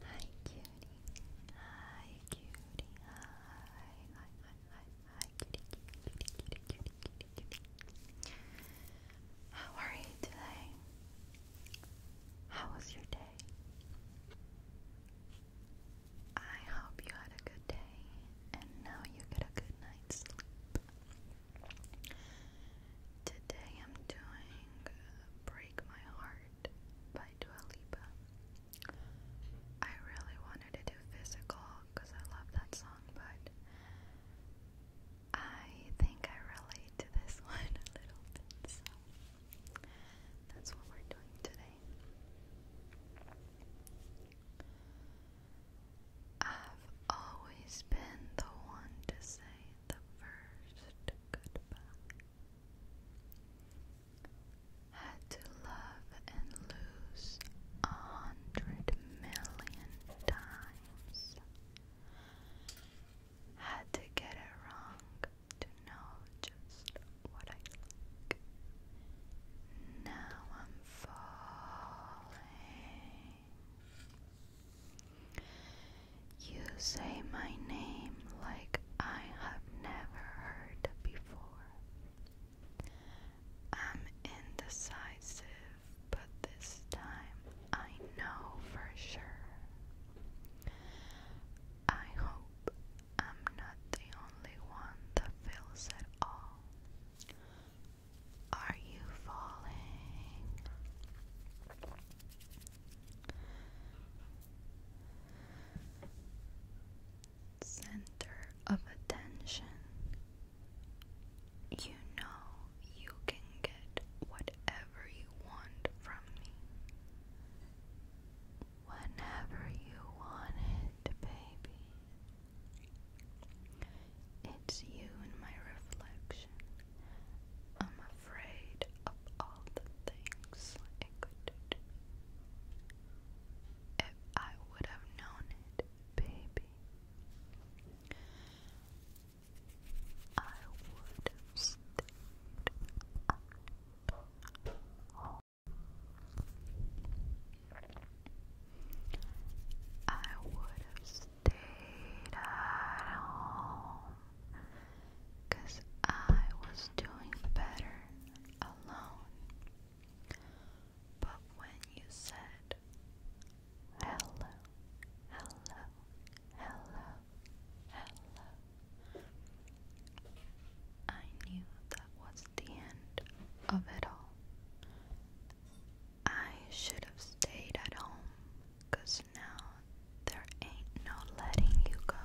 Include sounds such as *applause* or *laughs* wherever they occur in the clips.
Hi cutie, hi cutie, hi, hi, hi, hi, hi, cutie, cutie, cutie, cutie, cutie, cutie. How are you today? How was your day? I hope you had a good day and now you get a good night's sleep. Today I'm doing uh, Break My Heart by Dua Lipa. I really wanted to do physical because I love that song, but I think I relate to this *laughs* one a little bit, so that's what we're doing today. I've always been the one to say the first goodbye. Had to love and lose a hundred million times. Had to get it wrong to know just what I like. Now I'm falling. You say my name like I have never heard before. I'm indecisive, but this time I know for sure. I hope I'm not the only one that feels it all. Are you falling? Center of attention. You know you can get whatever you want from me. Whenever you want it, baby. It's you and my reflection. I'm afraid of all the things it could do If I would have known it, baby, I would have stayed out I would have stayed at home I was doing better alone. But when you said hello, hello, hello, hello, I knew that was the end of it all. I should have stayed at home, now there ain't no letting you go.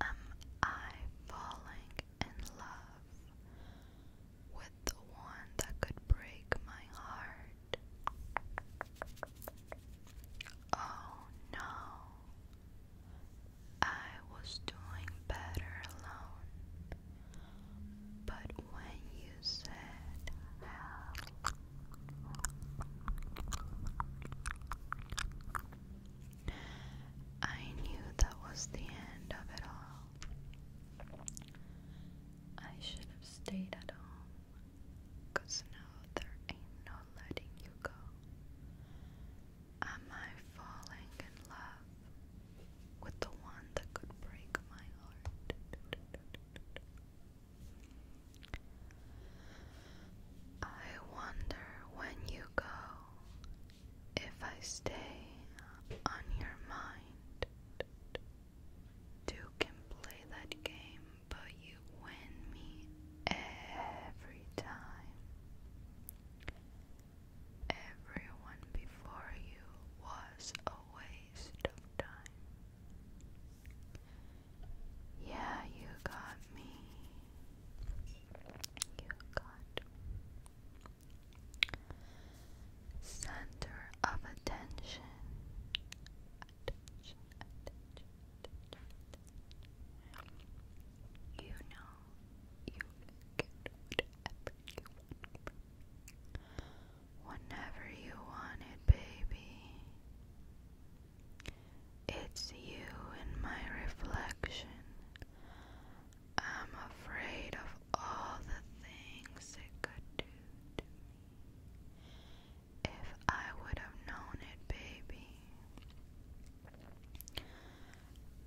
Am I falling in love with the one that could break my heart? Oh no, I was doing better alone. But when you said hell, I knew that was the end of it all. I should have stayed at home, now there ain't no letting you go. Am I falling in love? with the one that could break my heart. I wonder when you go if I stay on your mind. Two can play that game, but you win me every time. Everyone before you was a waste of time. Yeah, you got me. You got center of attention. You know Whenever you want it, baby. It's you in my reflection. I'm afraid of all the things it could do to me. If I would have known it, baby,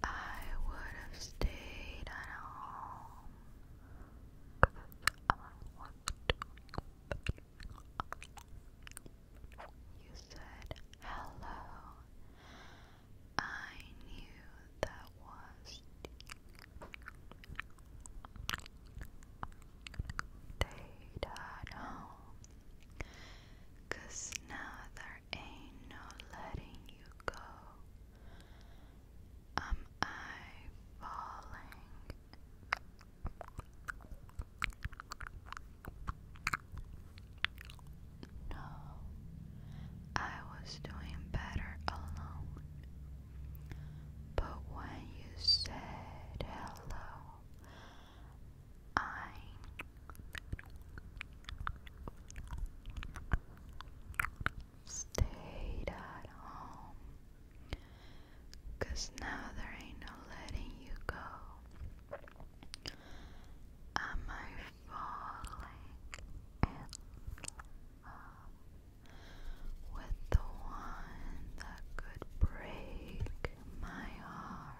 I would have stayed at home You said hello. I knew that was stayed at home. Cause now there ain't no letting you go. Am I falling? No, I was doing better alone. But when you said hello, I Stayed at home. Cause now there ain't no letting you go. Am I falling with the one that could break my heart?